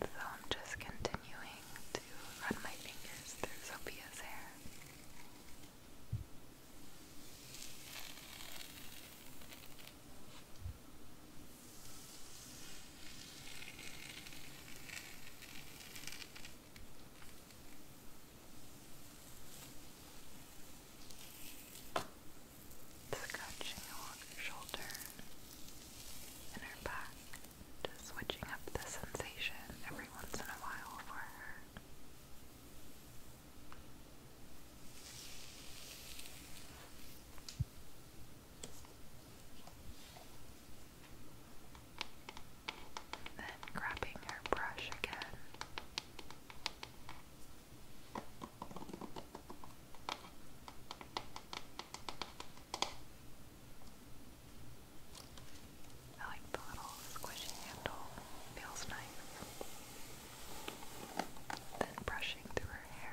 So I'm just continuing to run my fingers through Sophia's hair. Scratching her shoulder and back, just switching up the sensation every once in a while for her. Then grabbing her brush again I like the little squishy handle, feels nice. Then brushing through her hair.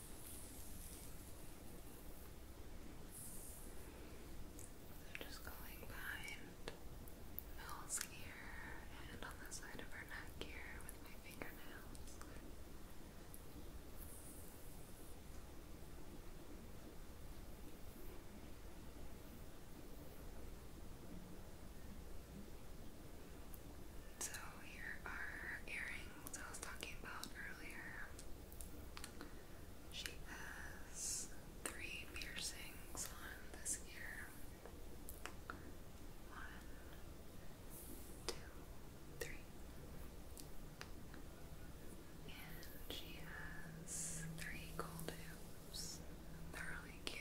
So just going behind Mel's ear and on the side of her neck here with my fingernails. So here are earrings I was talking about earlier. She has three piercings on this ear. One, two, three. And she has three gold hoops. They're really cute.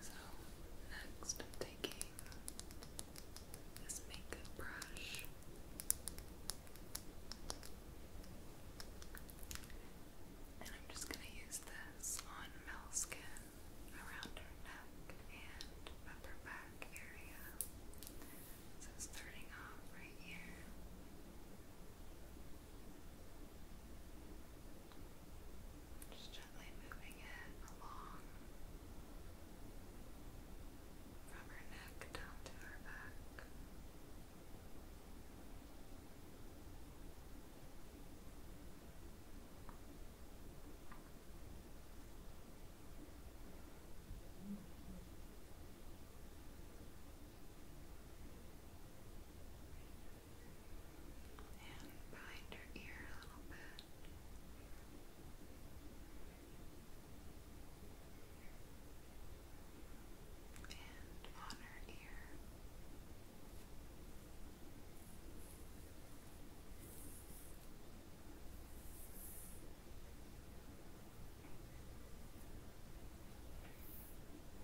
So, next taking this makeup brush. And I'm just going to use this on Mel's skin around her neck and upper back area. So starting off right here. Just gently moving it along from her neck down to her back and behind her ear a little bit. And on her ear.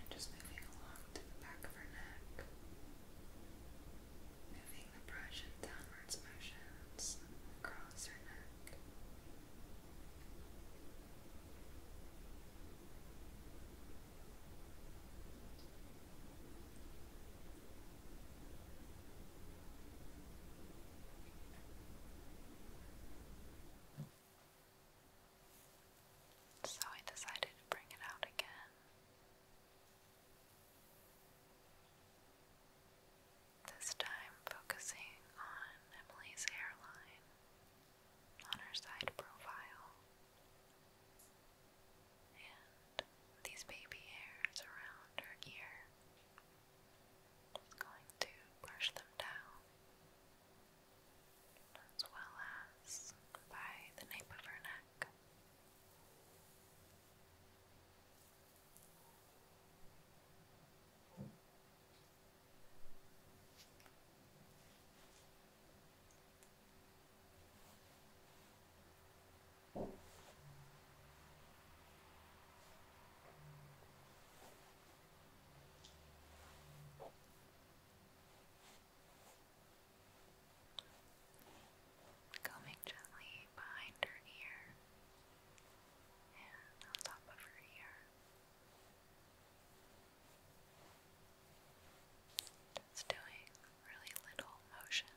And just moving along to the back of her neck, moving the brush in downwards motions across her neck. So I decided to bring it out again. This time focusing on Emily's hairline on her side profile and these baby hairs around her ear. Just going to brush them down as well as by the nape of her neck. Combing gently behind her ear and on top of her ear. Just doing really little motions.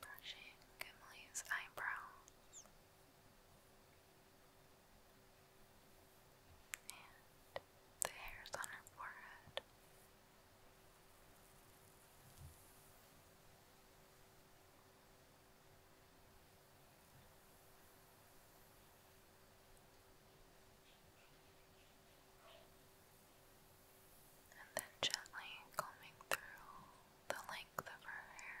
brushing Gimli's eyebrows and the hairs on her forehead and then gently combing through the length of her hair.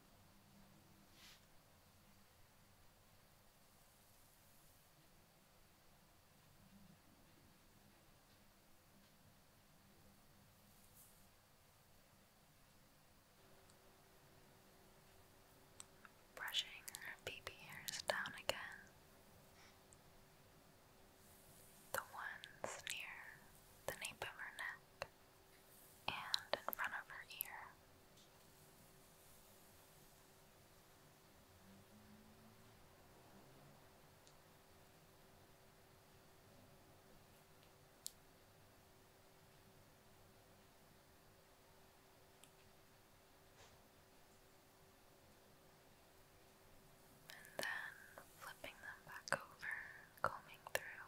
Brushing her baby hairs down again. The ones near the nape of her neck and in front of her ear. And then flipping them back over, combing through.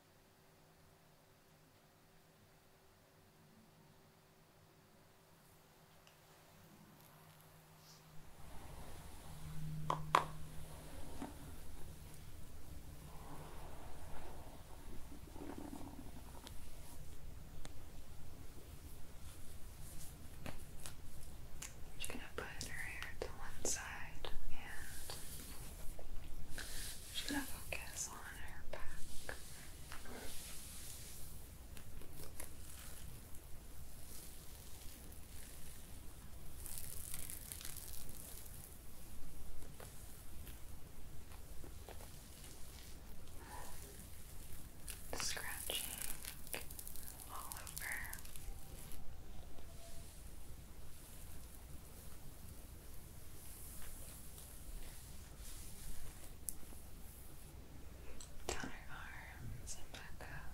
She's gonna put her hair to one side and she's gonna focus on on her Scratching all over. Down her arms and back up.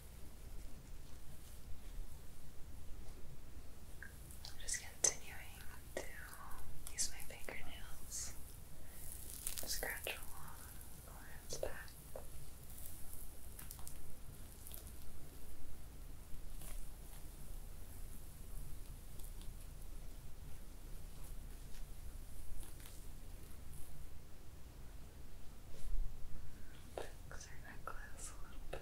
I'm just continuing to use my fingernails, scratch along Lauren's back. Fix her necklace a little bit.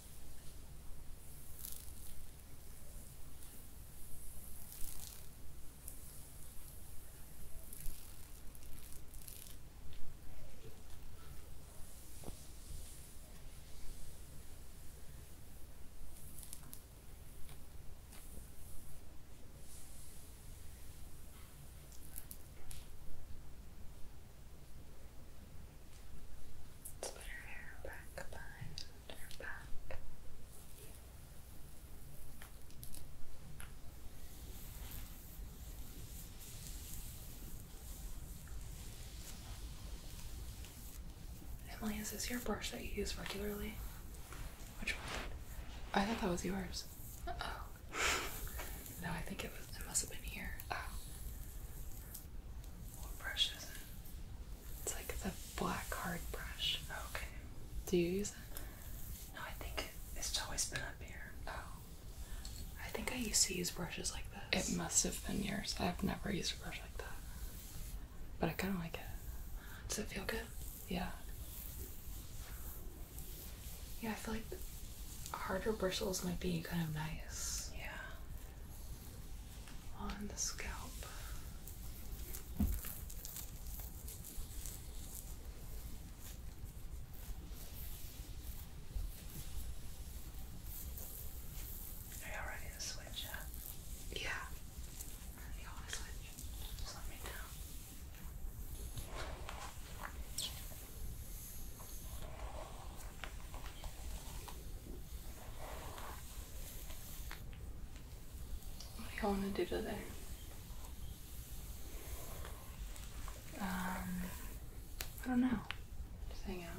Let's put her hair back behind Emily, is this your brush that you use regularly? Which one? I thought that was yours. oh. no, I think it was. It must have been here. Oh. What it's like the black hard brush. Okay. Do you use it? No, I think it's always been up here. Oh. I think I used to use brushes like this. It must have been yours. I've never used a brush like that. But I kind of like it. Does it feel good? Yeah. Yeah, I feel like harder bristles might be kind of nice. Yeah on the scalp. Are you ready to switch up? Yeah. let me know. What do you want to do today? Um, I don't know. Just hang out.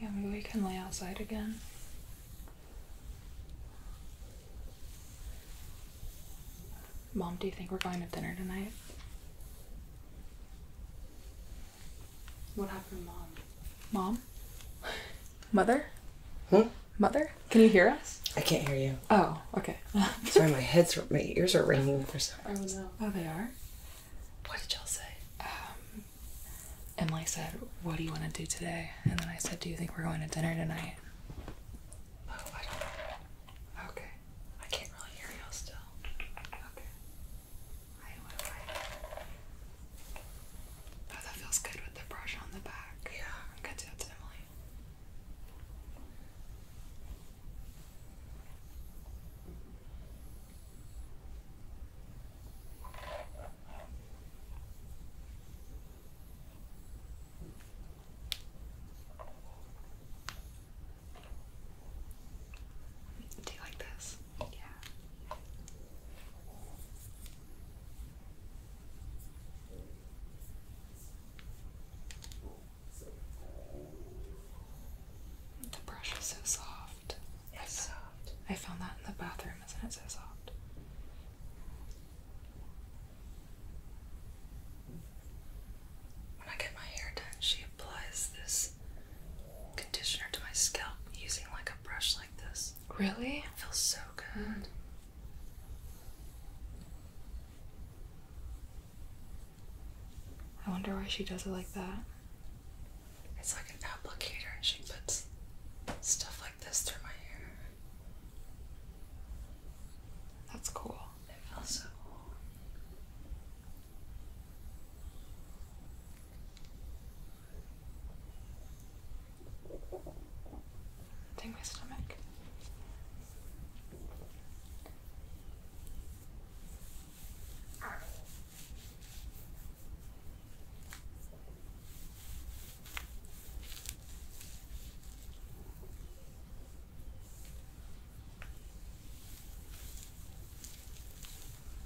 Yeah, maybe we can lay outside again. Mom, do you think we're going to dinner tonight? What happened, mom? Mom? Mother? Huh? Mother? Can you hear us? I can't hear you. Oh, okay. Sorry, my head's my ears are ringing for some reason. Oh no. Oh, they are. What did y'all say? Um, Emily said, "What do you want to do today?" And then I said, "Do you think we're going to dinner tonight?" Oh, I don't. Know. Okay. I can't really hear y'all still. Okay. Right, right, Oh, that feels good with the brush on the back. Yeah. I'm gonna do that to Emily. Do you like this? The brush is so soft. It's soft. I found that in the bathroom, isn't it so soft? When I get my hair done, she applies this conditioner to my scalp using like brush like this. Really? It feels so good. I wonder why she does it like that. It's like an applicator, and she puts stuff like this through my hair. That's cool. It feels so cool. Dang my stomach.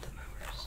The mowers.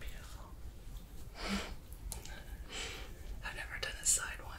Beautiful. I've never done a side one.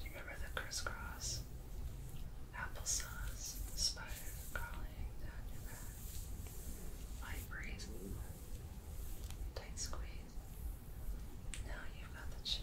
Do you remember the crisscross applesauce spider crawling laying down tight squeeze. Now you've got the chills.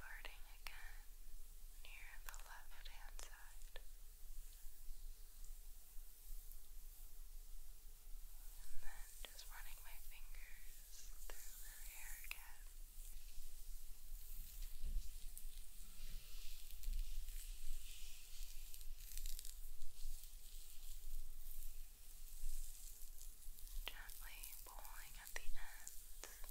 Parting again near the left hand side. And then just running my fingers brushes through her hair again. Gently pulling at the ends. Now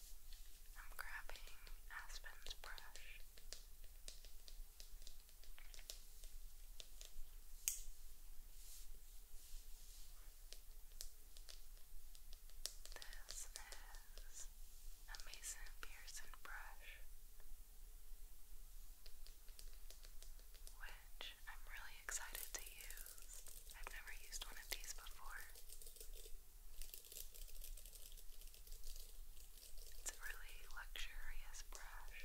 I'm grabbing Aspen's brush. This is a Pearson brush, which I'm really excited to use. I've never used one of these before. It's a really luxurious brush.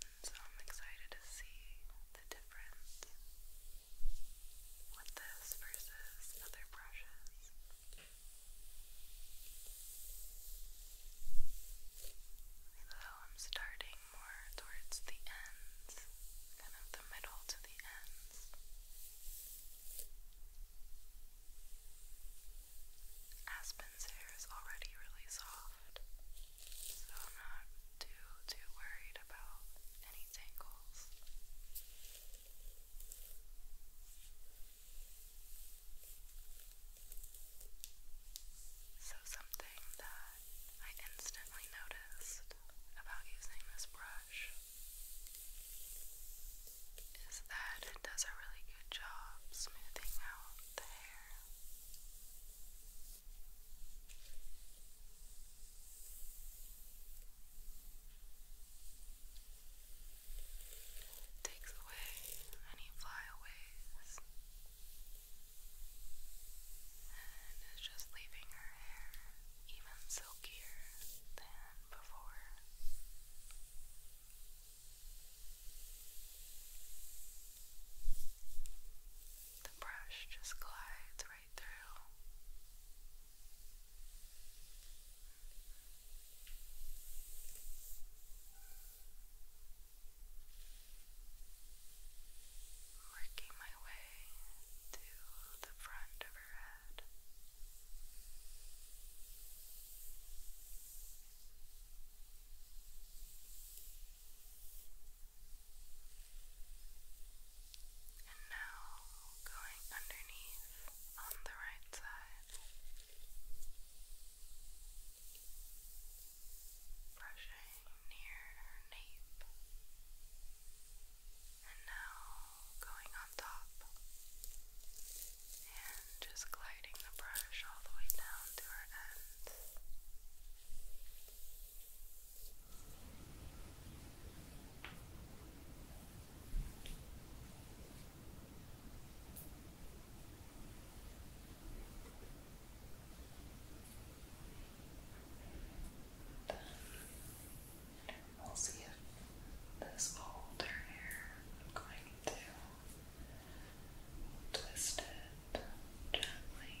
And so I'm excited to see the difference with this versus other brushes. Though I'm starting more towards the ends, kind of the middle to the ends. Aspen's hair is already really soft, so I'm not too too worried about any tangles. So something that I instantly noticed about using this brush is that it does a really good job smoothing out the hair. takes away any flyaways and is just leaving her hair even silkier than before. The brush just glides right through working my way to the front of her head. And now going underneath on the right side brushing near nape, and now going on top and just gliding the brush all the way down to her ends. Then we'll see if this older hair I'm going to twist it gently. And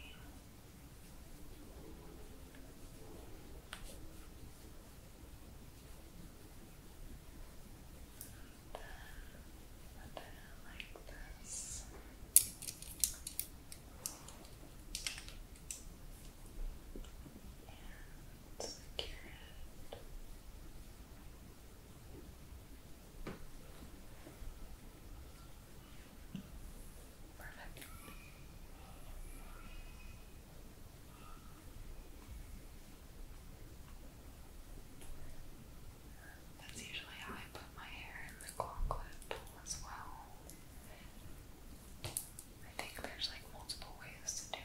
then, like this. And secure it. Perfect. That's usually how I put my hair in the claw clip as well. I think there's like multiple ways to do it.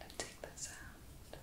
I'll take this out.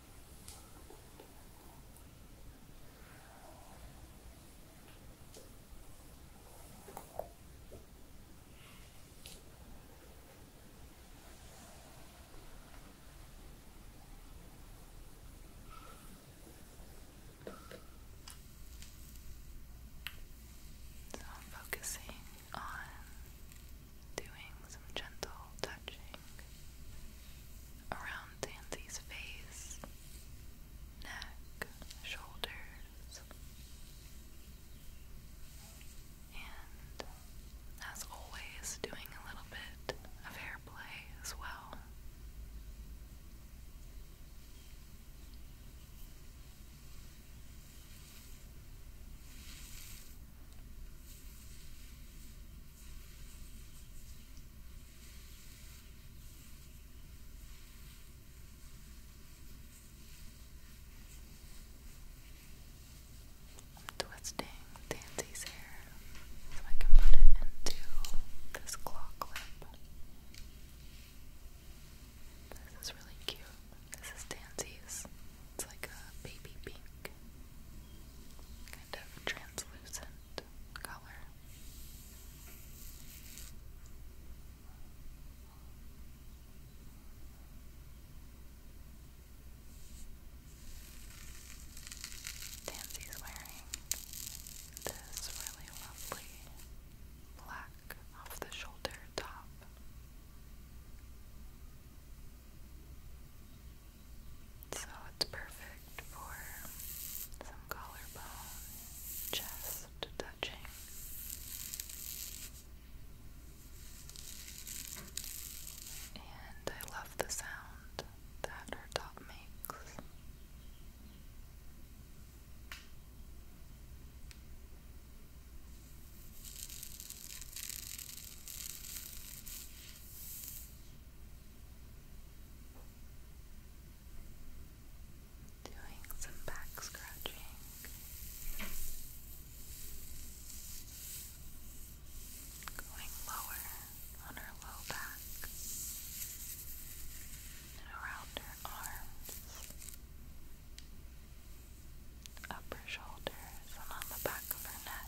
So I'm focusing on doing some gentle touching around Tansy's face, neck, shoulders, and as always, doing a little bit of hair play as well twisting Dancy's hair so I can put it into this claw clip. This is really cute. This is Dancy's. It's like a baby pink kind of translucent color. Dancy's wearing this really lovely black off the shoulder top. So it's perfect for some collarbone, chest touching. And I love the sound that her top makes. Doing some back scratching. Going lower on her low back and around her arms, upper shoulders, and on the back of her neck.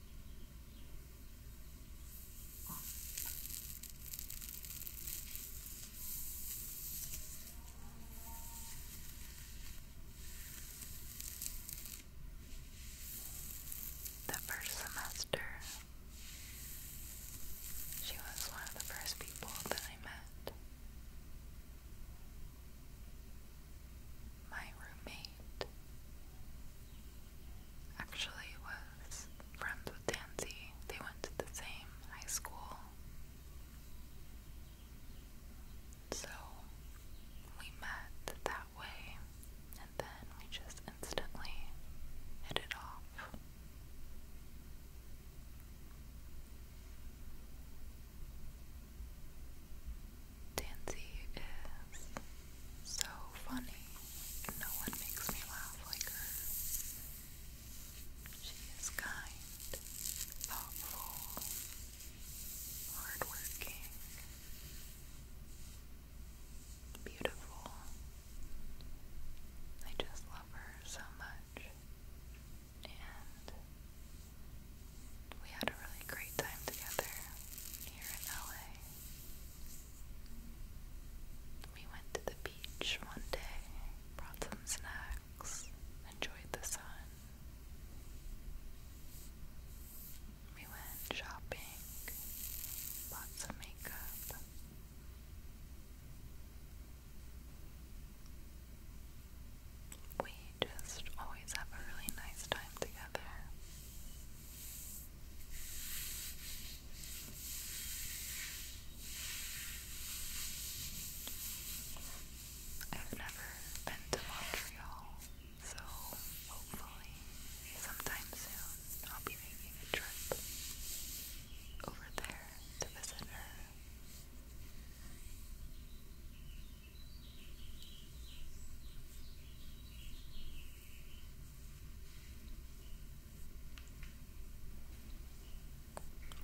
The first semester, she was one of the first people that I met. My roommate Actually was friends with Dancy. They went to the same high school. So we met that way and then we just instantly hit it off. Tansy is so funny. No one makes me laugh like her. She is kind, thoughtful, hardworking, beautiful. I just love her so much. And we had a really great time together here in LA. We went to the beach one day, brought some snacks, enjoyed the sun. We went shopping, bought some makeup. We just always have a really nice time together. I've never been to Montreal, so hopefully sometime soon I'll be making a trip over there to visit her.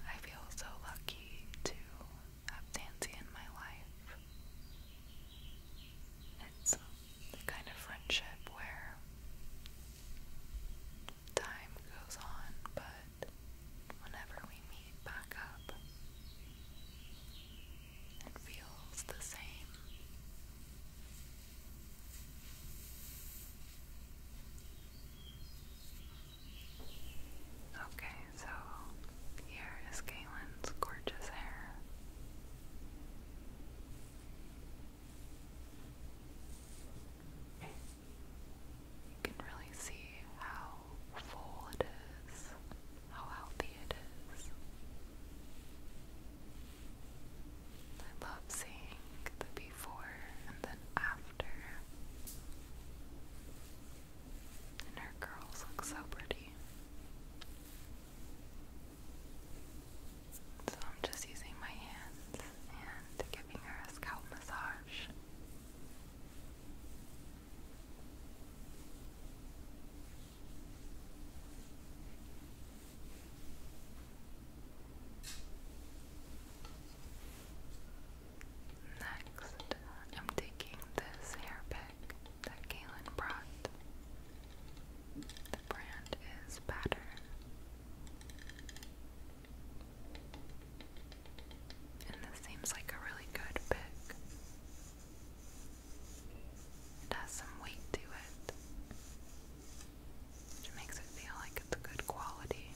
I feel so lucky to have Tansy in my life. It's the kind of friendship where time goes on, but whenever we meet back up, it feels the same. Okay, so here is Galen's gorgeous hair. You can really see how full it is how healthy it is. I love seeing the before and then after. And her curls look so pretty. So I'm just using my hands and giving her a scalp massage. Next, I'm taking this hair pick that Galen brought. The brand is Pattern. And this seems like a really good pick. It has some weight to it, which makes it feel like it's good quality.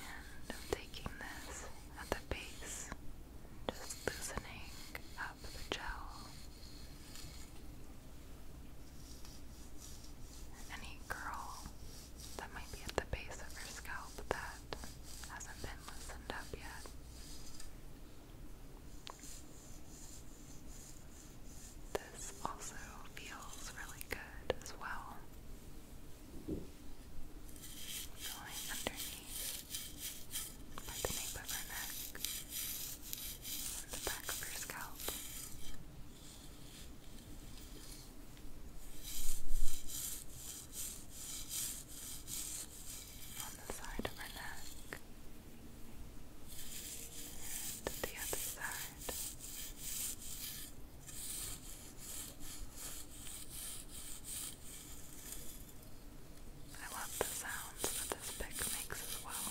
And I'm taking this at the base, just loosening up the gel. Any curl that might be at the base of your scalp that that hasn't been loosened up yet. This also feels really good as well. Going underneath by the nape of her neck the back of her scalp on the side of her neck and the other side. I love the sounds that this pick makes as well.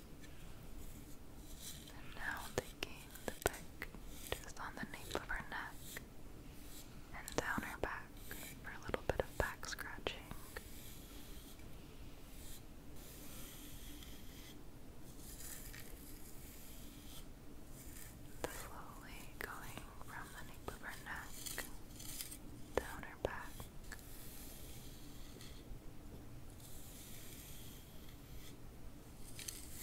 And now taking the pick just on the nape of her neck and down her back for a little bit of back scratching. Slowly going from the nape of her neck down her back. Going across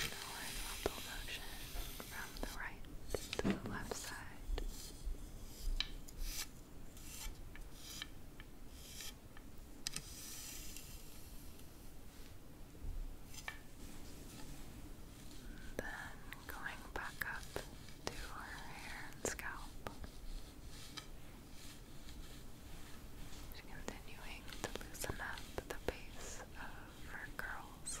the horizontal motion from the right to the left side. Good. Then going back up to her hair and scalp. continuing to loosen up the base of her curls.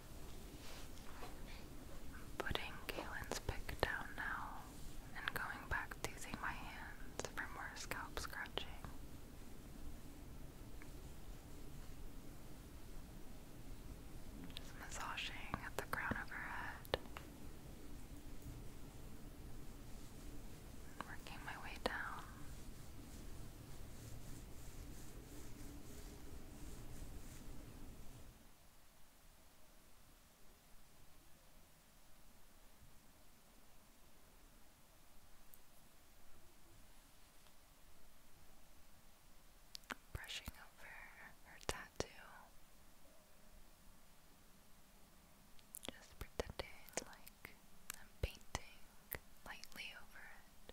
Putting Galen's pick down now and going back to using my hands for more scalp scratching. Just massaging at the crown of her head. Working my way down. Brushing over her tattoo. Just pretending like I'm painting lightly over it.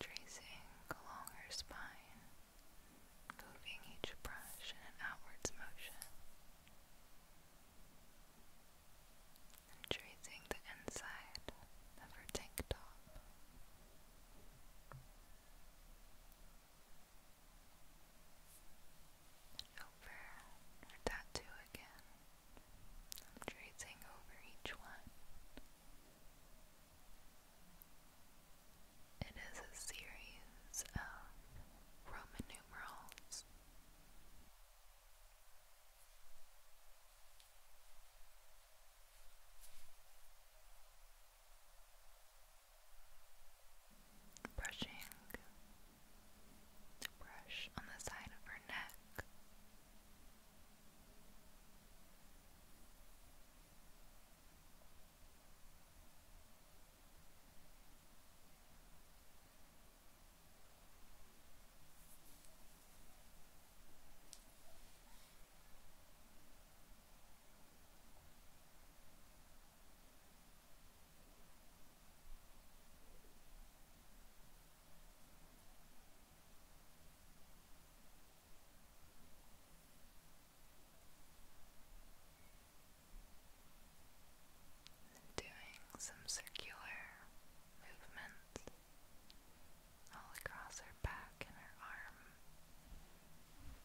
Tracing along her spine, moving each brush in an outwards motion, tracing the inside of her tank top over our tattoo again. I'm tracing over each one. It is a series of Roman numerals brushing the brush on the side of her neck. Doing some circular movements all across her back and her arm.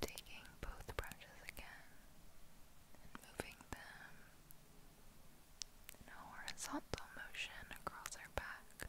Taking both brushes again and moving them in horizontal motion across our back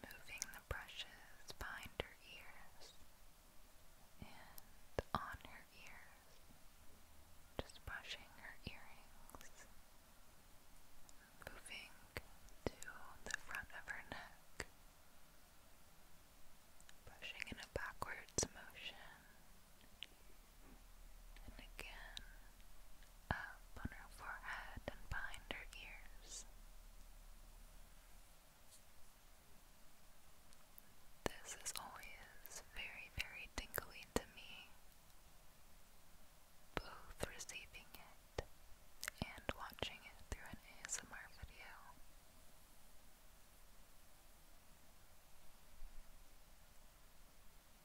Moving the brushes behind her ears and on her ears, just brushing her earrings, moving to the front of her neck, brushing in a backwards motion and again up on her forehead and behind her ears. This is always very, very tingly to me, both receiving it and watching it through an ASMR video.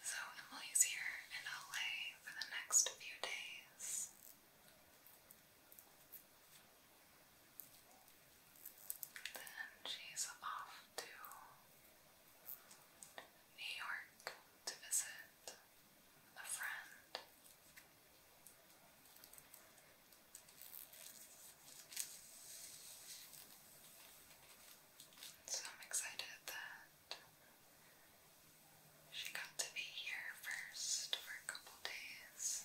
So Emily's here in LA for the next few days. Then she's off to New York to visit a friend. So I'm excited that she got to be here first for a couple days.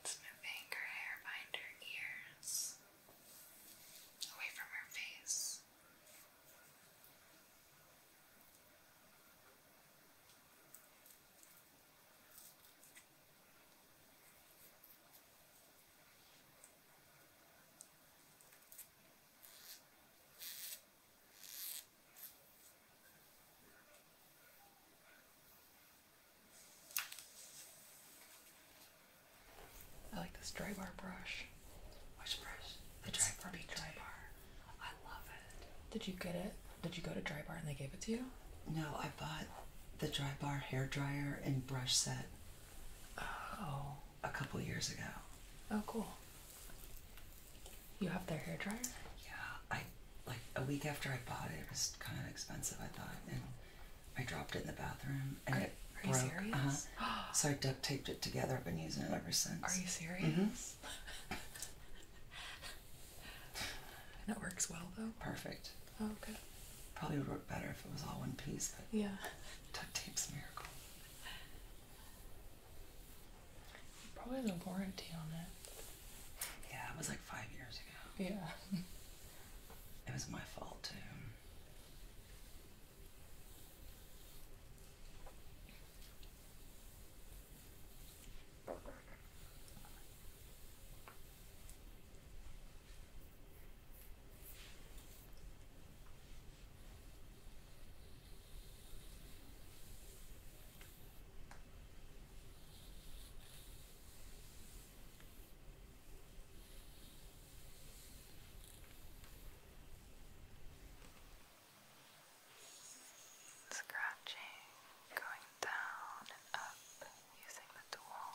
It's moving her hair behind her ears, away from her face. I like this dry bar brush. brush? The it's dry bar. The dry I love it. Did you get it? Did you go to dry bar and they gave it to you? No, I bought the dry bar hair dryer and brush set. Oh. A couple years ago. Oh, cool. You have their hair dryer? Yeah, I like a week after I bought it. It was kind of expensive, I thought, and I dropped it in the bathroom and are, it broke. Uh-huh. serious? Uh-huh. so I duct taped it together. I've been using it ever since. Are you mm-hmm. serious? hmm and it works well though. Perfect. Oh, Probably would work better if it was all one piece, but yeah, duct tape's miracle. Probably has a warranty on it. Yeah, it was like five years ago. Yeah. It was my fault too. Scratching, going down and up using the tool,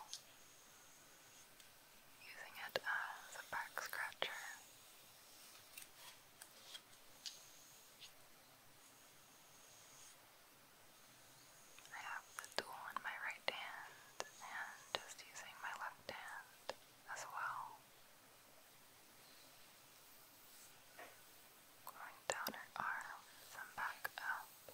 using it as a back scratcher. I have the tool in my right hand and just using my left hand as well. Going down her arms and back up. Now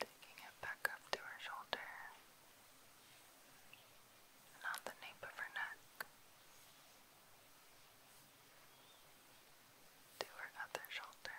Taking it back up to her shoulder and on the nape of her neck, to her other shoulder.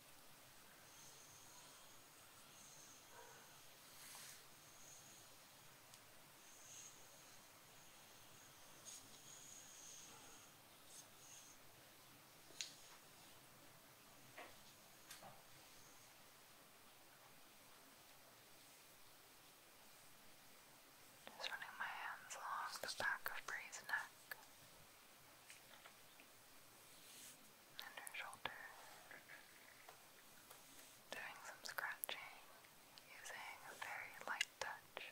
Just running my hands along the back of Bree's neck and her shoulder. Doing some scratching using a very light touch.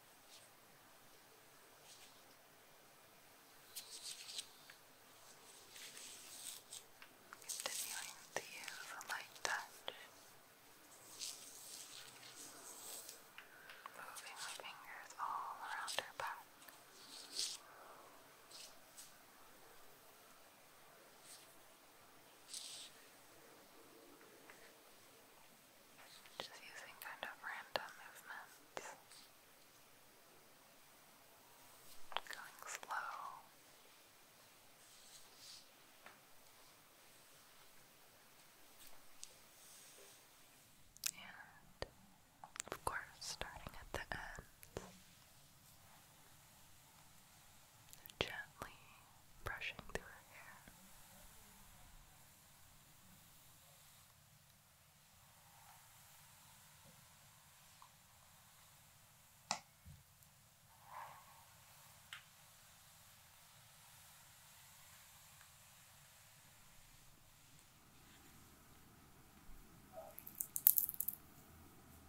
Continuing to use a light touch, moving my fingers all around her back. Gently just using kind of random movements, going slow. And of course, starting at the end, gently brushing through her hair,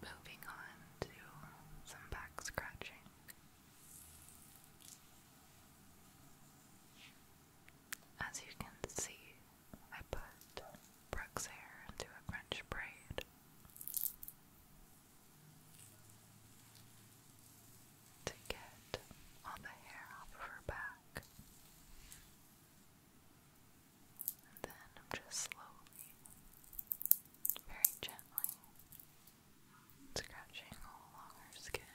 Moving on to some back scratching. As you can see, I put Brooke's hair into a French braid. To get all the hair off of her back. And then I'm just slowly, very gently, scratching all along her skin.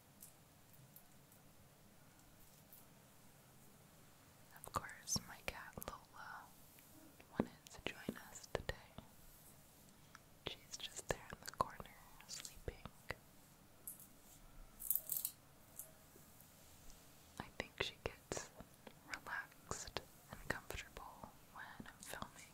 Of course, my cat Lola wanted to join us today. She's just there in the corner, sleeping. I think she gets relaxed and comfortable when filming.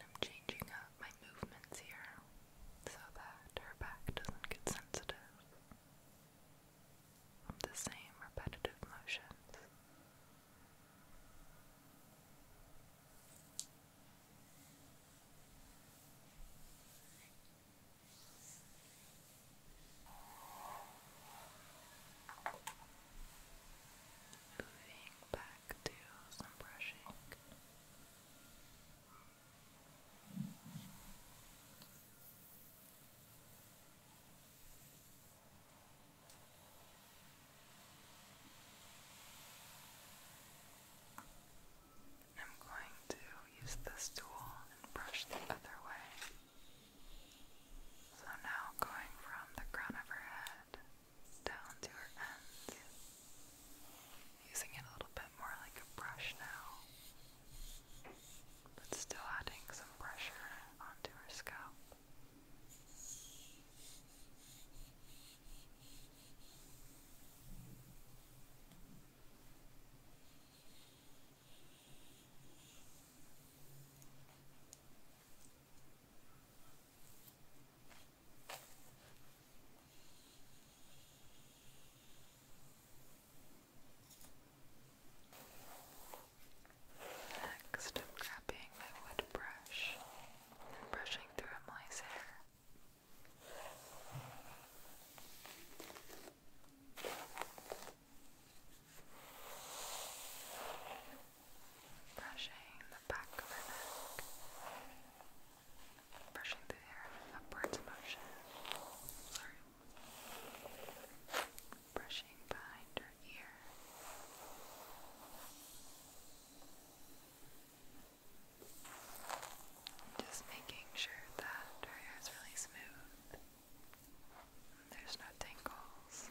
I'm changing up my movements here so that her back doesn't get sensitive from the same repetitive motions. Moving back to some brushing. I'm going to use this tool and brush the other way. So now going from the crown of her head down to her ends. Using it a little bit more like a brush now, but still adding some pressure onto her scalp. Next, I'm grabbing my wood brush and brushing through Emily's hair brushing the back of her neck, brushing the hair in an upwards motion. Sorry. Brushing behind her ear. Just making sure that her hair is really smooth. There's no tangles.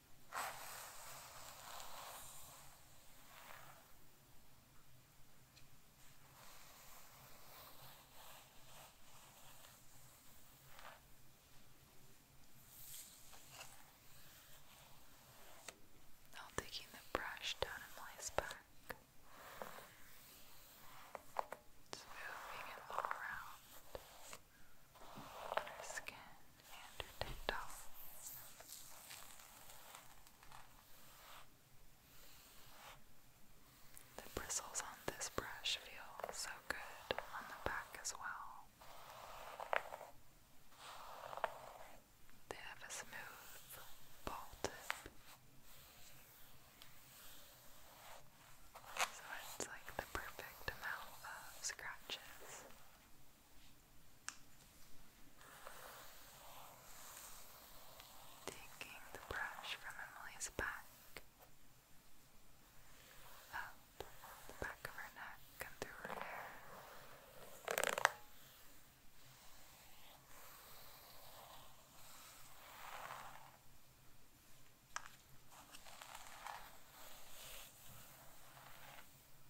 Now taking the brush down and lace back. moving it around on skin and your tactile. The bristles on this brush feel so good on the back as well. They have a smooth ball So it's like the perfect amount of scratches Taking the brush from Emily's back, up the back of her neck and her hair.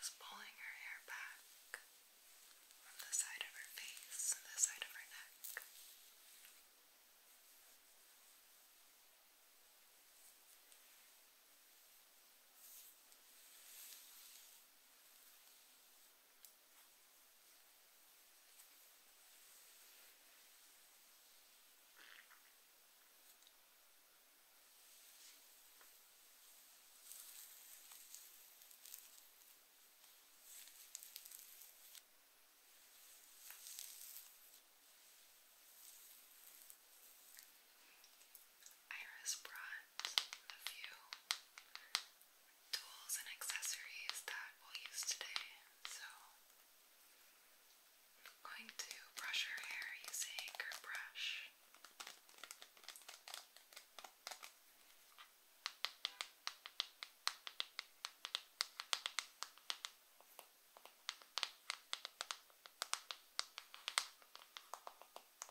Just pulling her hair back from the side of her face and the side of her neck. Just Iris brought a few tools and accessories that we'll use today. So, I'm going to brush her hair using her brush. And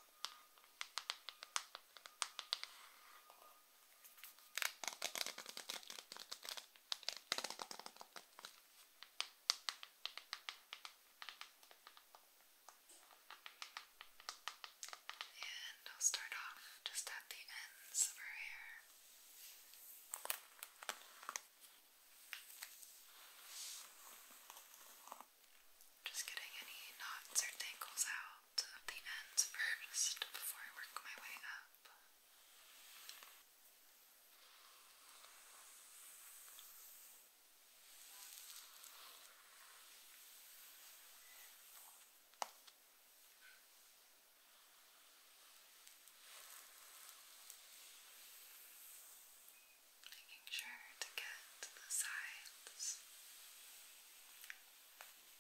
I'll start off just at the ends of her hair. Just getting any knots or tangles out of the ends first before I work my way up. Making sure to get the sides.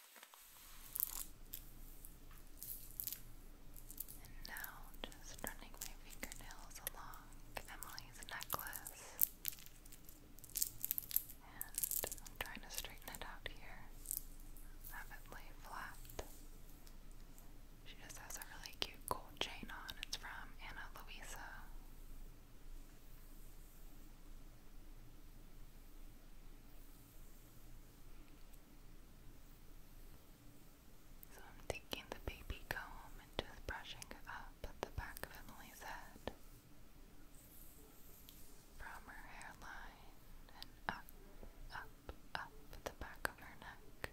And now, just running my fingernails along Emily's necklace. And I'm trying to straighten it out here. Have it lay flat. She just has a really cute gold chain on. It's from Anna Luisa. So I'm taking the baby comb and just brushing up at the back of Emily's head. From her hairline and up, up, up at the back of her neck.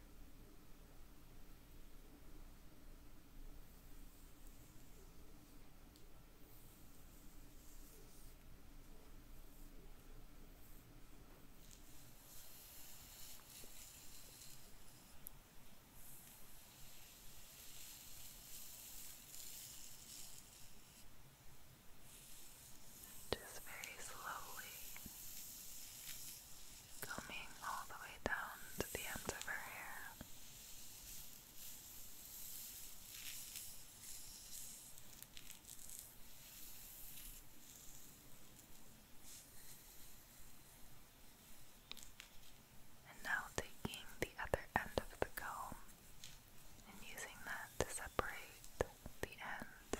Just very slowly combing all the way down to the ends of her hair. And now taking the other end of the comb and using that to separate the ends.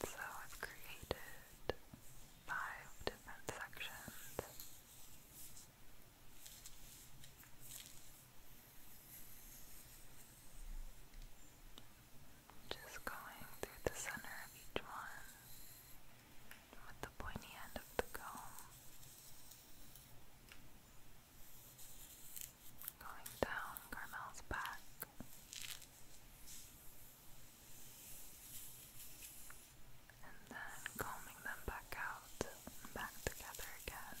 So I've created five different sections. Just going through the center of each one with the pointy end of the comb. Going down Carmel's back. And then combing them back out back together again.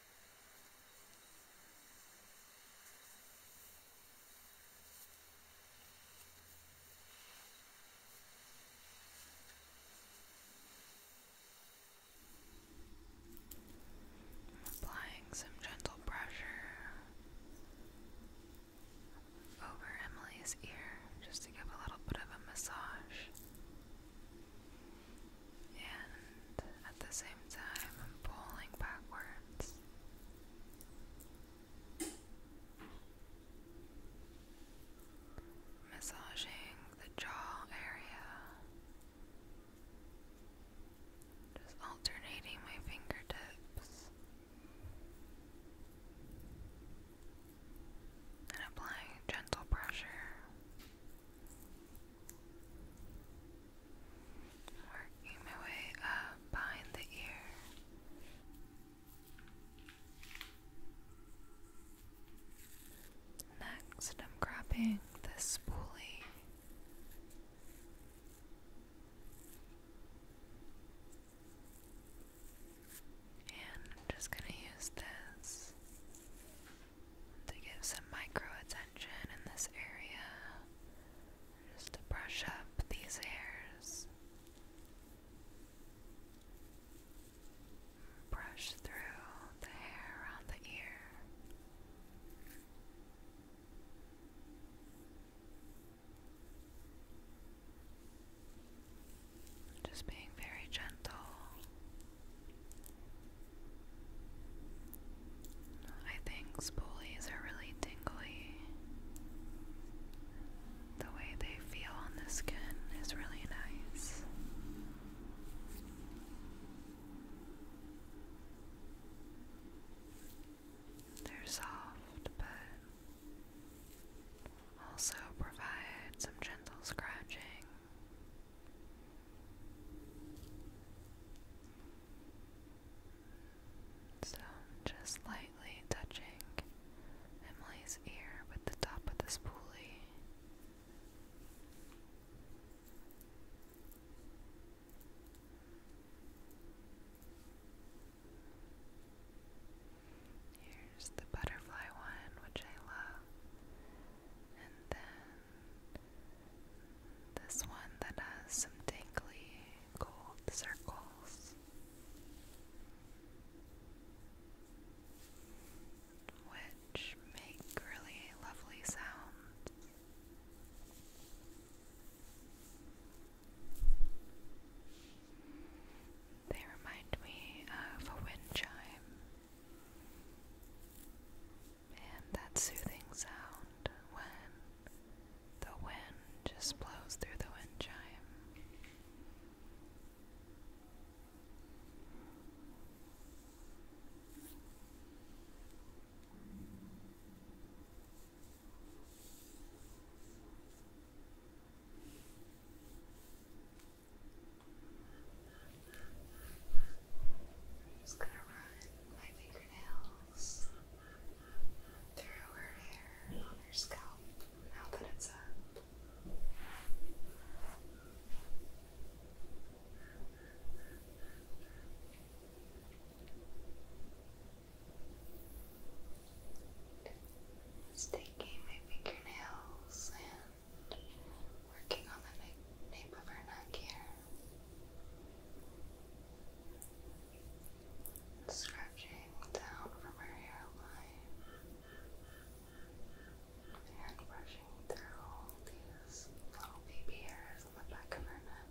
Applying some gentle pressure over Emily's ear just to give a little bit of a massage and at the same time I'm pulling backwards. Massaging the jaw area. Just alternating my fingertips and applying gentle pressure. Working my way up behind the ear. Next, I'm grabbing this spoolie. And I'm just going to use this to give some micro attention in this area, just to brush up these hairs. Brush through the hair around the ear. Just being very gentle I think spoolies are really tingly. The way they feel on the skin is really nice. They're soft, but also provide some gentle scratching so, just lightly touching Emily's ear with the top of the spoolie. Here's the butterfly one, which I love, and then this one that has some dinkly gold circles which make really lovely sounds. They remind me of a wind chime and that soothing sound when the wind just blows through the wind chime. I'm just gonna run my fingernails through her hair her scalp now that it's up. Just taking my fingernails and working on the nape of her neck here. Scratching down from her hairline and brushing through all these little baby hairs on the back of her neck.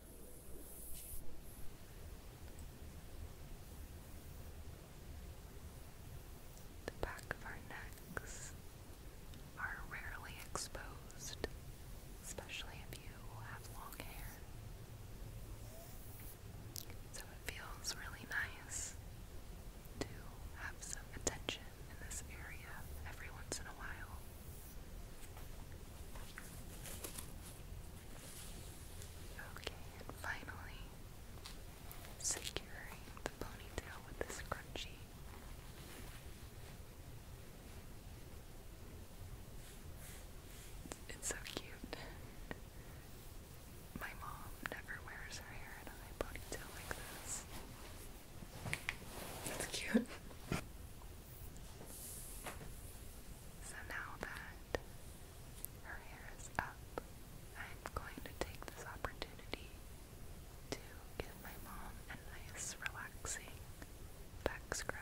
The back of our necks are rarely exposed, especially if you have long hair. So it feels really nice to have some attention in this area every once in a while. Okay, finally, securing the ponytail with this scrunchie. It's so cute. My mom never wears her hair in a high ponytail like this. That's cute. So now that her hair is up, I'm going to take this opportunity to give my mom a nice, relaxing back scratch.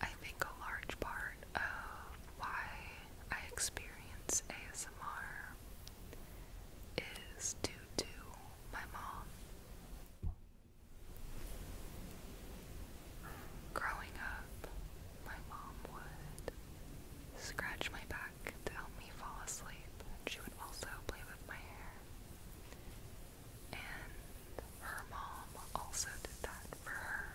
I think a large part of why I experience ASMR is due to my mom. Growing up, my mom would scratch my back to help me fall asleep, and she would also play with my hair and her mom also did that for her.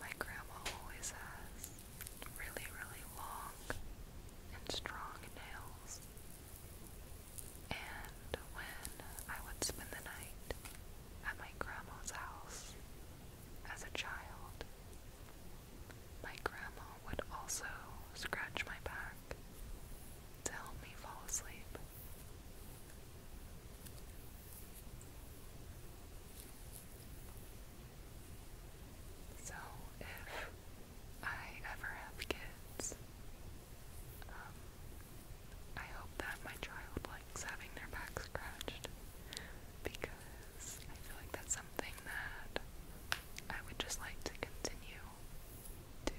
My grandma always has really, really long and strong nails. And when I would spend the night at my grandma's house as a child, my grandma would also scratch my back to help me fall asleep. So, if I ever have kids, um, I hope that my child likes having their back scratched because I feel like that's something that I would just like to continue to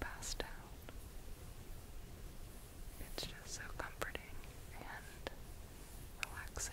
pass down. It's just so comforting and relaxing.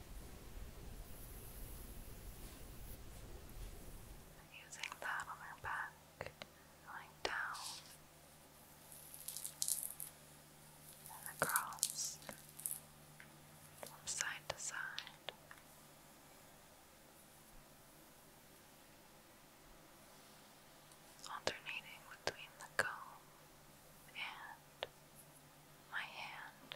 And using that on her back, going down and across from side to side. Alternating between the comb and my hand.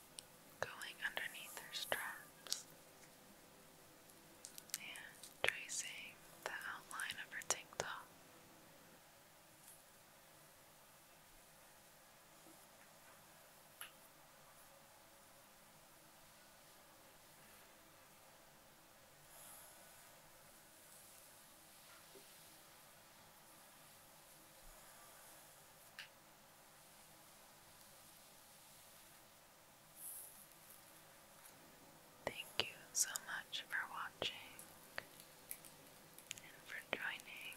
going underneath her straps and tracing the outline of her tank Thank you so much for watching and for joining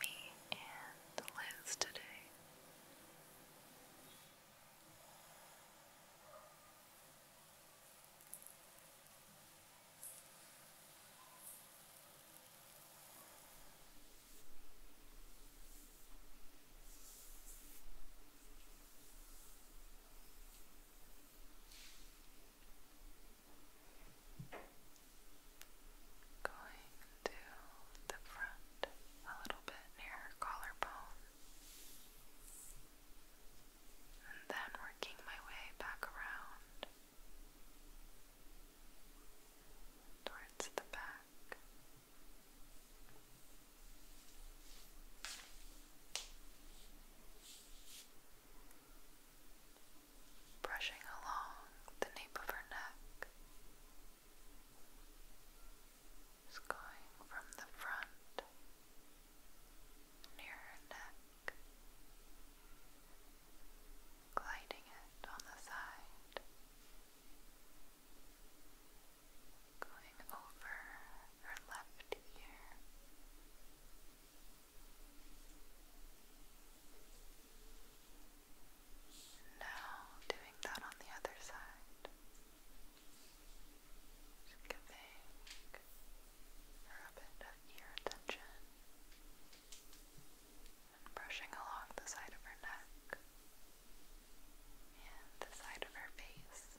me and Liz today. Going to the front a little bit near collarbone, and then working my way back around towards the back. Brushing along the nape of her neck, just going from the front near her neck gliding it on the side, going over her left ear. Now doing that on the other side, giving a bit of ear attention and brushing along the side of her neck and the side of her face.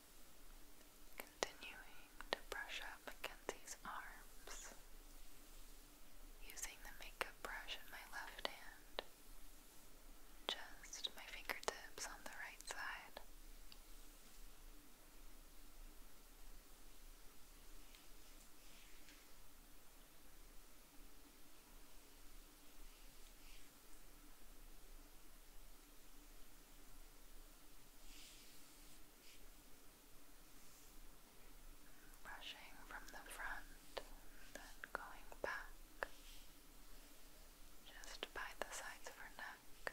Continuing to brush up Mackenzie's arms, using the makeup brush in my left hand, just my fingertips on the right side. Brushing from the front then going back just by the sides of her neck.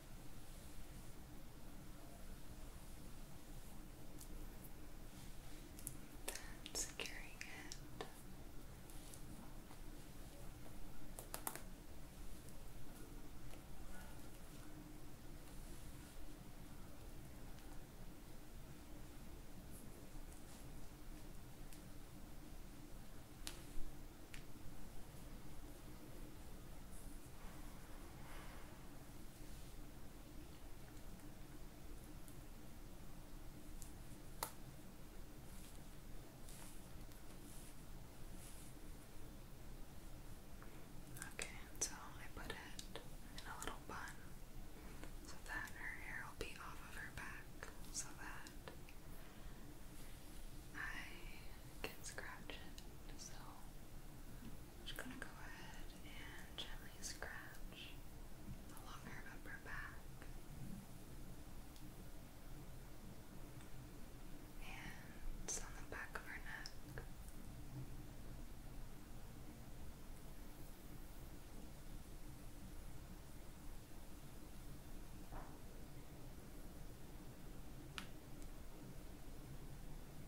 Then securing it. Then Okay, so I put it in a little bun so that her hair will be off of her back so that I can scratch it. So just gonna go ahead and gently scratch along her upper back and on the back of her neck.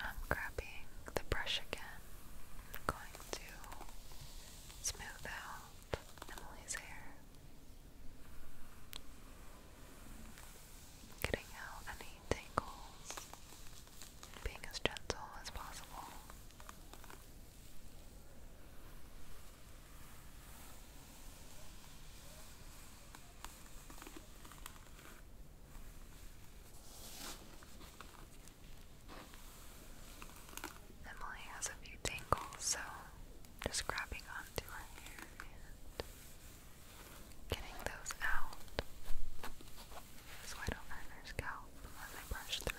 I'm grabbing the brush again. going to smooth out Emily's hair. Getting out any tangles. Being as gentle as possible. Emily has a few tangles, so just grabbing onto her hair getting those out. So I don't hurt her scalp as I brush through.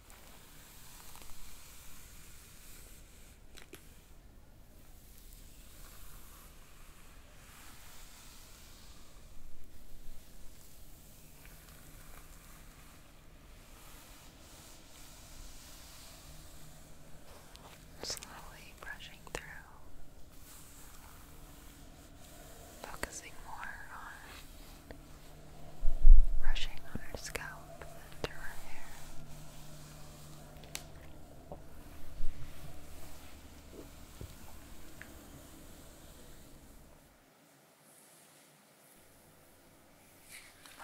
Slowly brushing through, focusing more on brushing on her scalp and through her hair.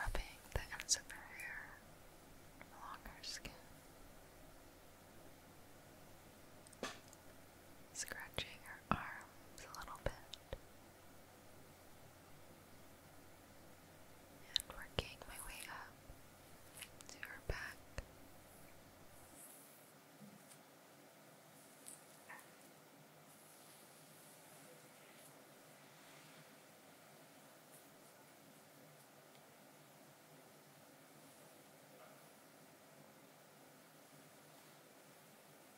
Rubbing the ends of her hair along her skin, scratching her arms a little bit, and working my way up to her back.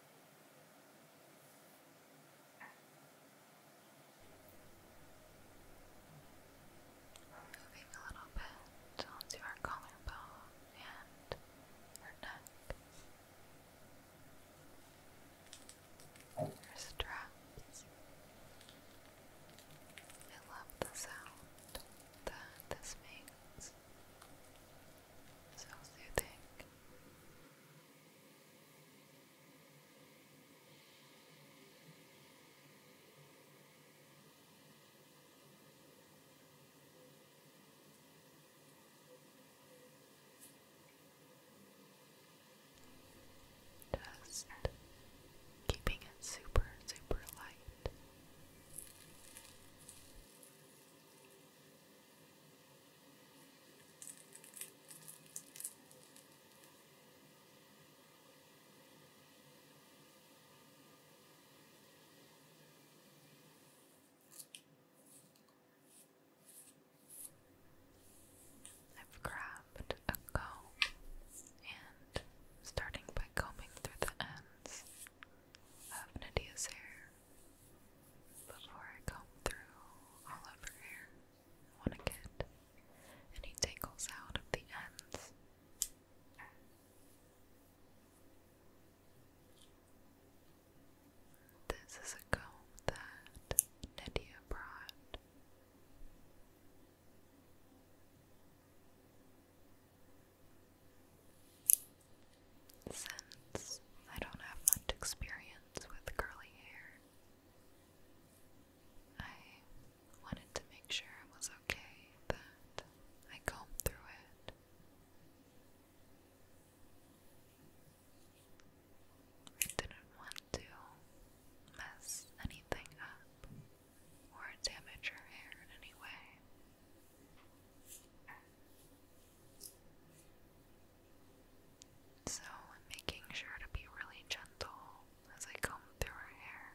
Moving a little bit onto our collarbone and our neck. Our straps. I love the sound that this makes. So soothing. Just keeping it super, super light. I've grabbed a comb and starting by combing through the ends of Nadia's hair before I comb through all of her hair. I want to get any tangles out of the ends. This is a comb that Nydia brought. Since I don't have much experience with curly hair, I wanted to make sure it was okay that I combed through it. I didn't want to mess anything up or damage her hair in any way. So, I'm making sure to be really gentle as I comb through her hair.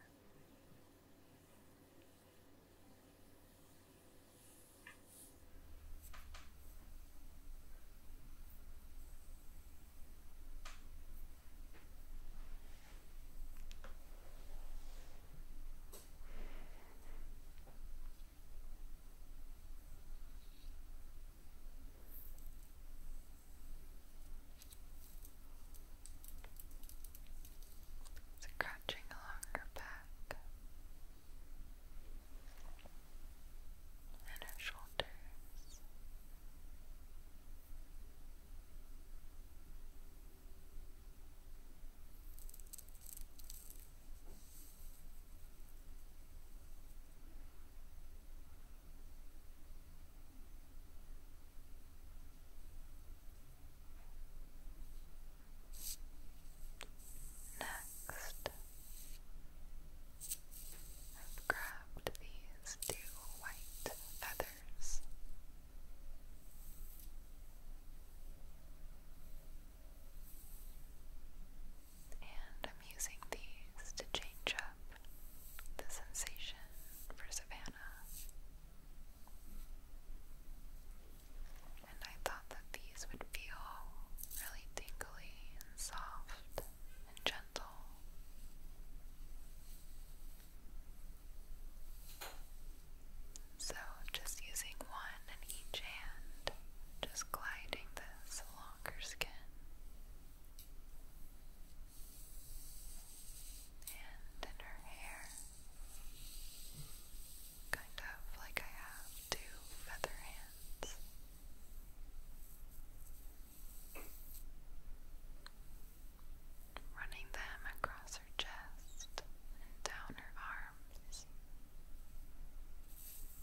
It's crunching along her back and her shoulders. Next, I've grabbed these two white feathers. And I'm using these to change up the sensation for Savannah. And I thought that these would feel really tingly and soft and gentle. So, just using one in each hand, just gliding this longer skin. And in her hair, kind of like I have two feather hands. Running them across her chest and down her arms.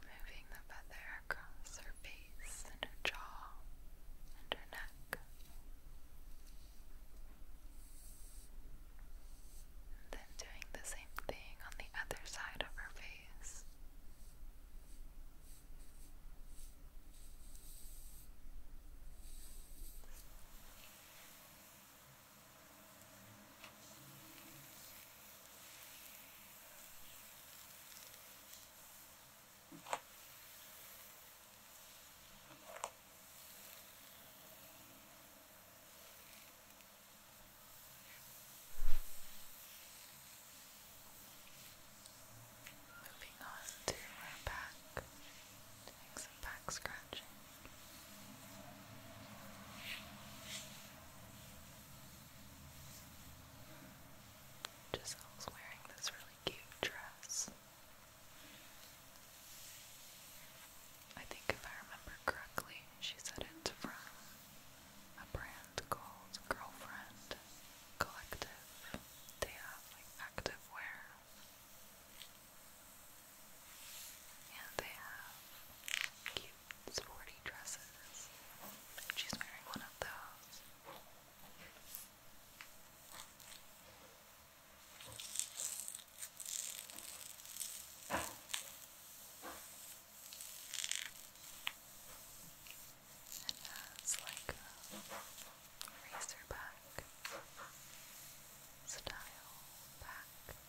Moving the feather across her face and her jaw and her neck then doing the same thing on the other side of her face. Moving on to our back, doing some back scratching. Giselle's wearing this really cute dress. I think if I remember correctly, she said it's from a brand called Girlfriend Collective. They have like active wear. And they have cute sporty dresses. She's wearing one of those. And has like a razor back style back.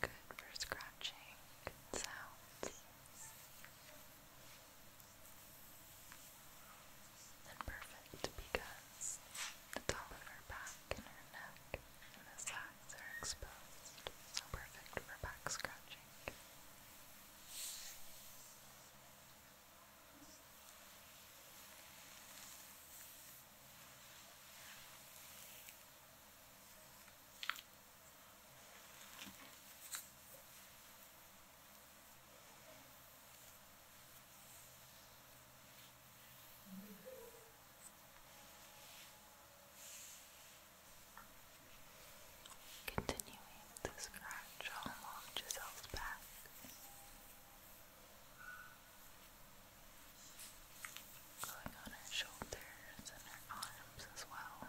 Good for scratching sounds and perfect because the top of her back and her neck and the sides are exposed, so perfect for back scratching. Continuing to scratch all along Giselle's back. Going on her shoulders and her arms as well.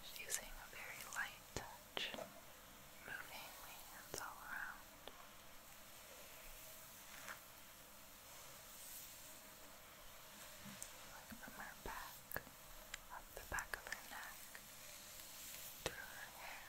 Just using a very light touch, moving my hands all around. from her back, up the back of her neck, through her hair,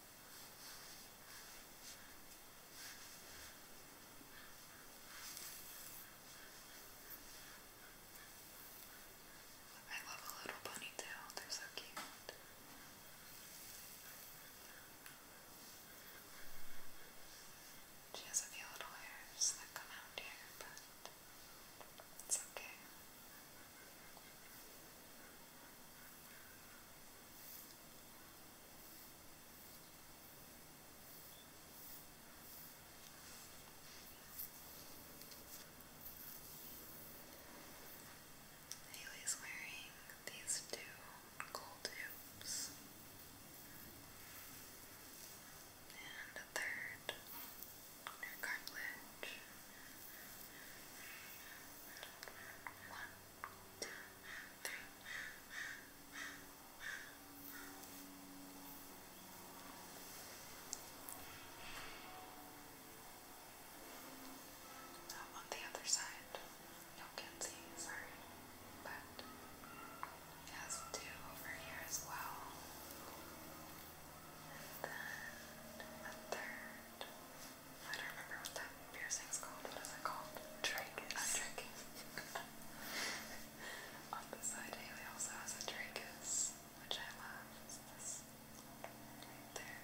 I love a little ponytail, they're so cute. She has a few little hairs that come out here, but it's okay. Haley's wearing these two gold hoops and a third her cartilage. One now on the other side, you can't see, sorry, but it has two over here as well. And then a third. I don't remember what that piercing's called. What is it called? Tragus. A tragus. On the side, Haley also has a tragus, which I love. this right there.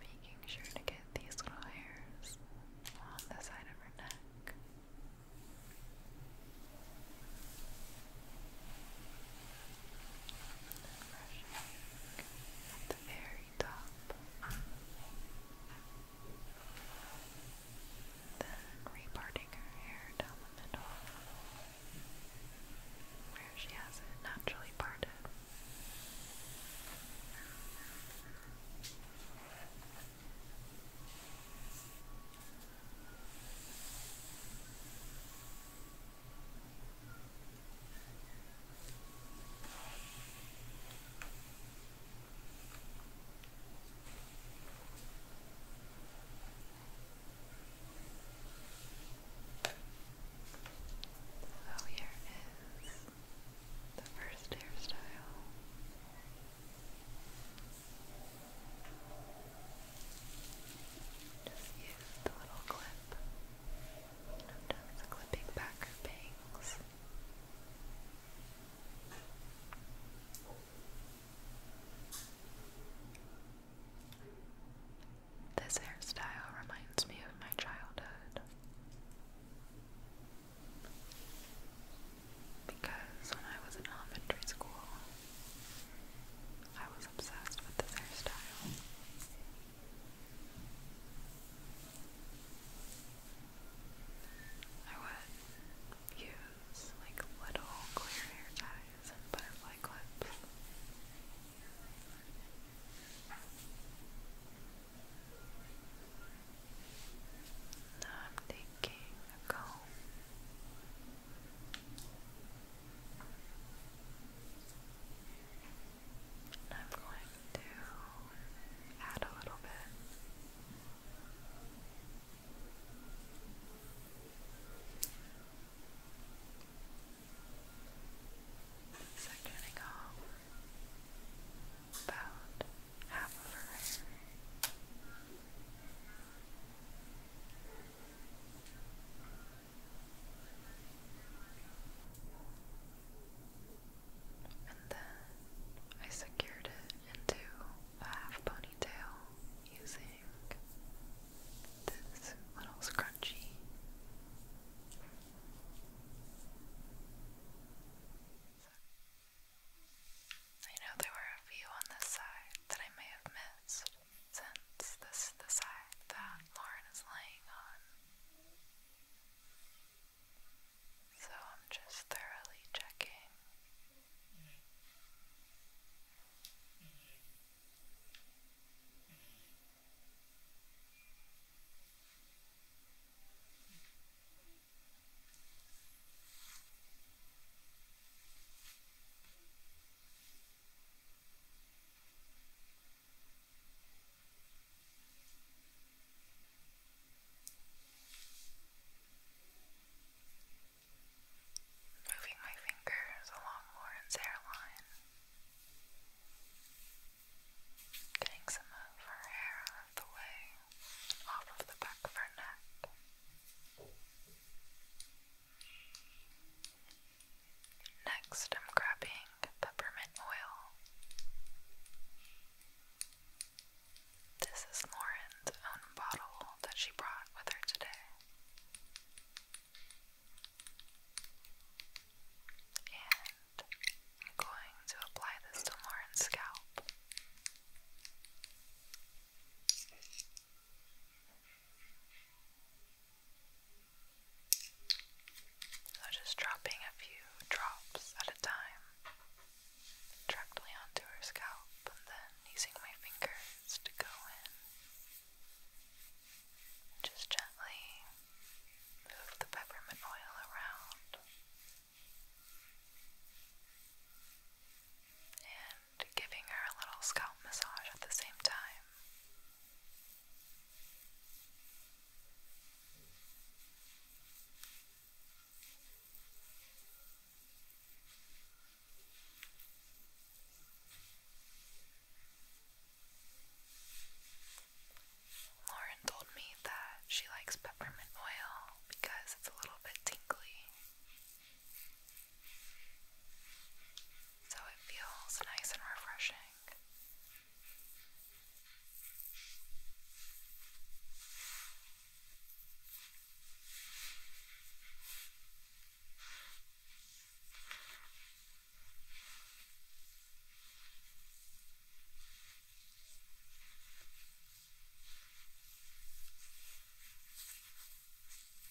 Making sure to get these little hairs on the side of her neck at the very top, then reparting her hair down the middle where she has it naturally parted. So oh, here is the first hairstyle. Just use the little clip. Sometimes clipping back her bangs. This hairstyle reminds me of my childhood. Because when I was in elementary school, I was obsessed with this hairstyle. I would use like little clear hair ties and butterfly clips. Now I'm taking a comb. And I'm going to add a little bit. Sectioning off about half of her hair. And then I secured it into a half ponytail using this little scrunchie. I know there were a few on this side that I may have missed, since this is the side that Lauren is laying on. So I'm just thoroughly checking. Moving my fingers along Lauren's hairline, getting some of her hair out of the way, off of the back of her neck. Next, I'm grabbing peppermint oil. This is Lauren's own bottle that she brought with her today. And I'm going to apply this to Lauren's scalp. So just dropping a few drops at a time directly onto her scalp and then using my fingers to go in. Just gently move the peppermint oil around and giving her a little scalp massage at the same time. Lauren told me that she likes peppermint oil because it's a little bit tingly so it feels nice and refreshing.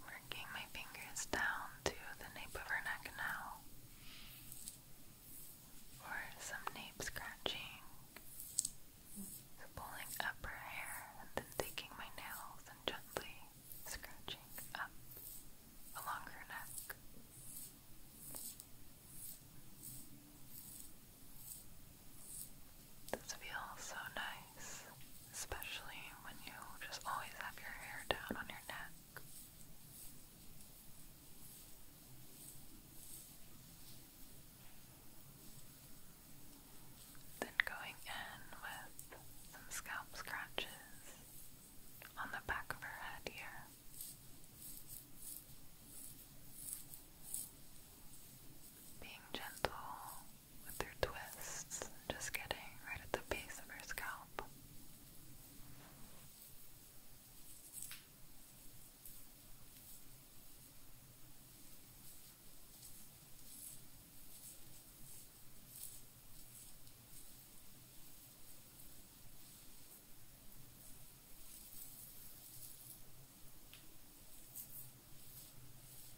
Working my fingers down to the nape of her neck now for some nape scratching. pulling up her hair then taking my nails and gently scratching up along her neck. This feels so nice, especially when you just always have your hair down on your neck. Then going in with some scalp scratches on the back of her head here. Being gentle with their twists, just getting right at the base of her scalp.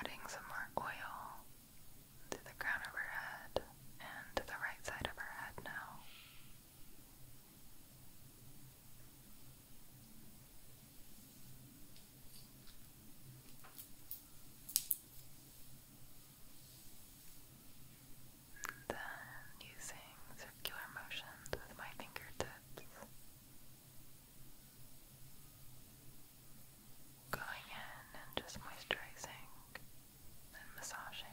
Adding some more oil to the crown of her head and to the right side of her head now. then using circular motions with my fingertips going in and just moisturizing and massaging.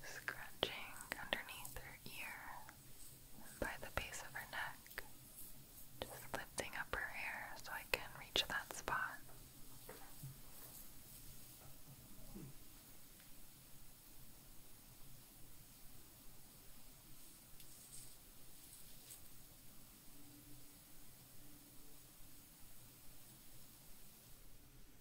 Scratching underneath her ear by the base of her neck, just lifting up her hair so I can reach that spot.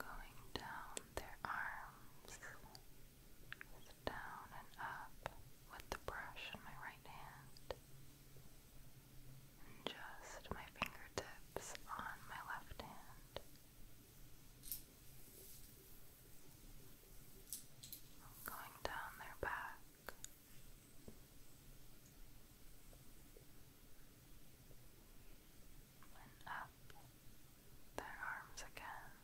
going down their arms, down and up with the brush in my right hand, and just my fingertips on my left hand. Going down their back and up their arms again.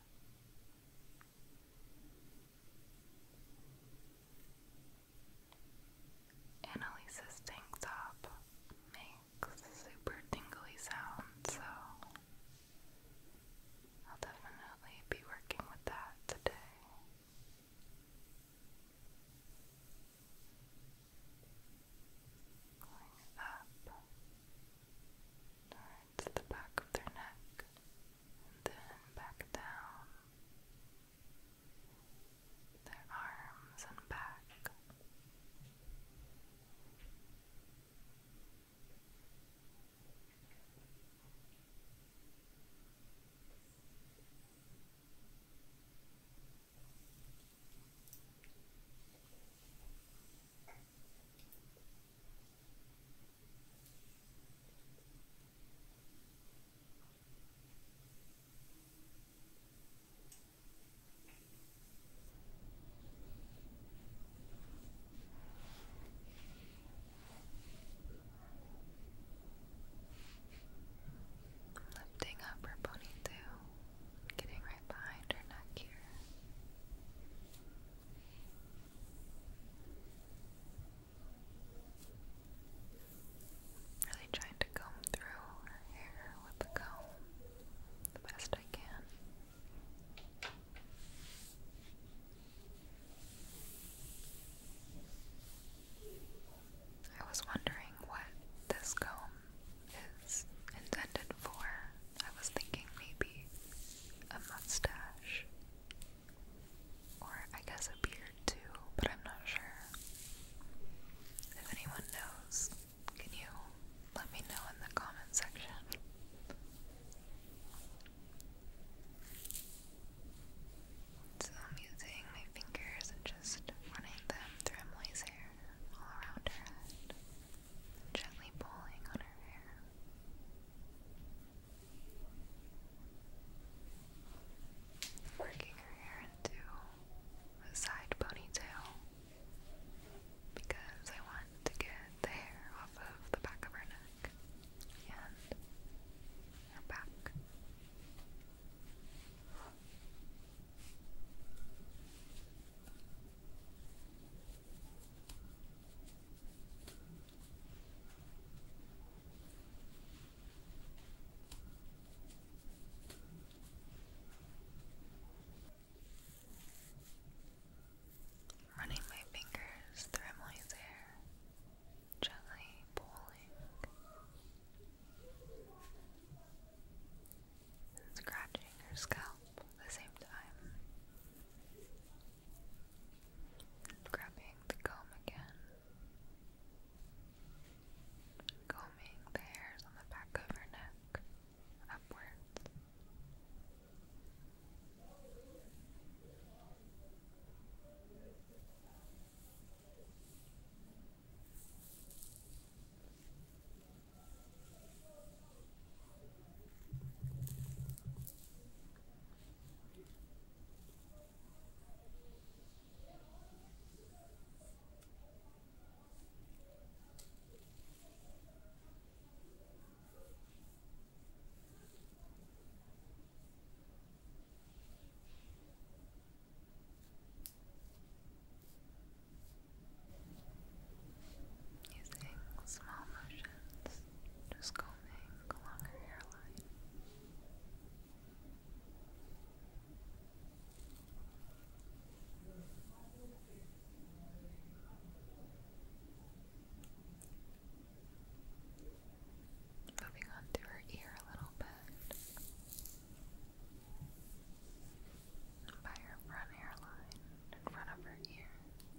Annalise's tank top makes super tingly sound, so I'll definitely be working with that today. Going up towards the back of their neck and then back down their arms and back. Lifting up her ponytail, getting right behind her neck here. Really trying to comb through hair with the comb the best I can. I was wondering what this comb is intended for. I was thinking maybe a mustache. Or I guess a beard too, but I'm not sure. If anyone knows, can you let me know in the comment section? So I'm using my fingers and just running them through Emily's hair all around her head gently pulling on her hair. Working her hair into a side ponytail because I want to get the hair off of the back of her neck and her back. Running my fingers through Emily's hair, gently pulling scratching her scalp at the same time. Grabbing the comb again. Combing the hairs on the back of her neck upwards. Using small motions just combing along her hairline. Moving on to her ear a little bit. By her front hairline, in front of her ear.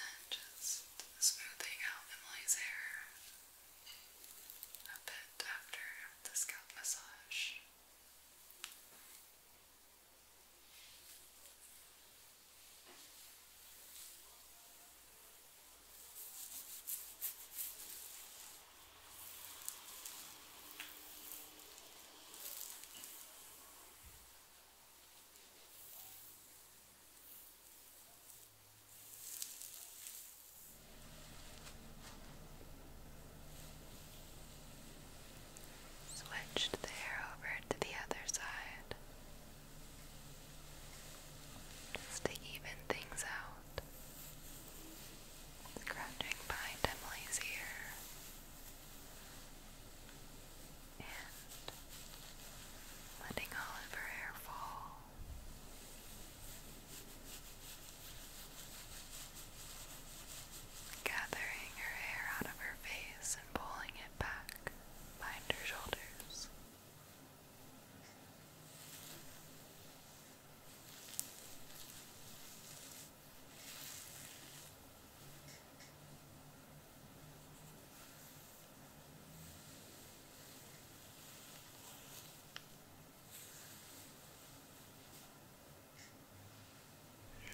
Then just smoothing out Emily's hair a bit after the scalp massage. Switched the hair over to the other side just to even things out. Scratching behind Emily's ear and letting all her hair fall. Gathering her hair out of her face and pulling it back behind her shoulders.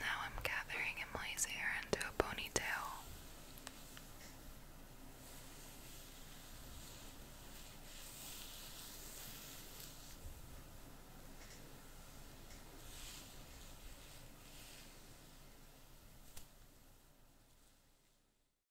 Now I'm gathering Emily's hair into a ponytail.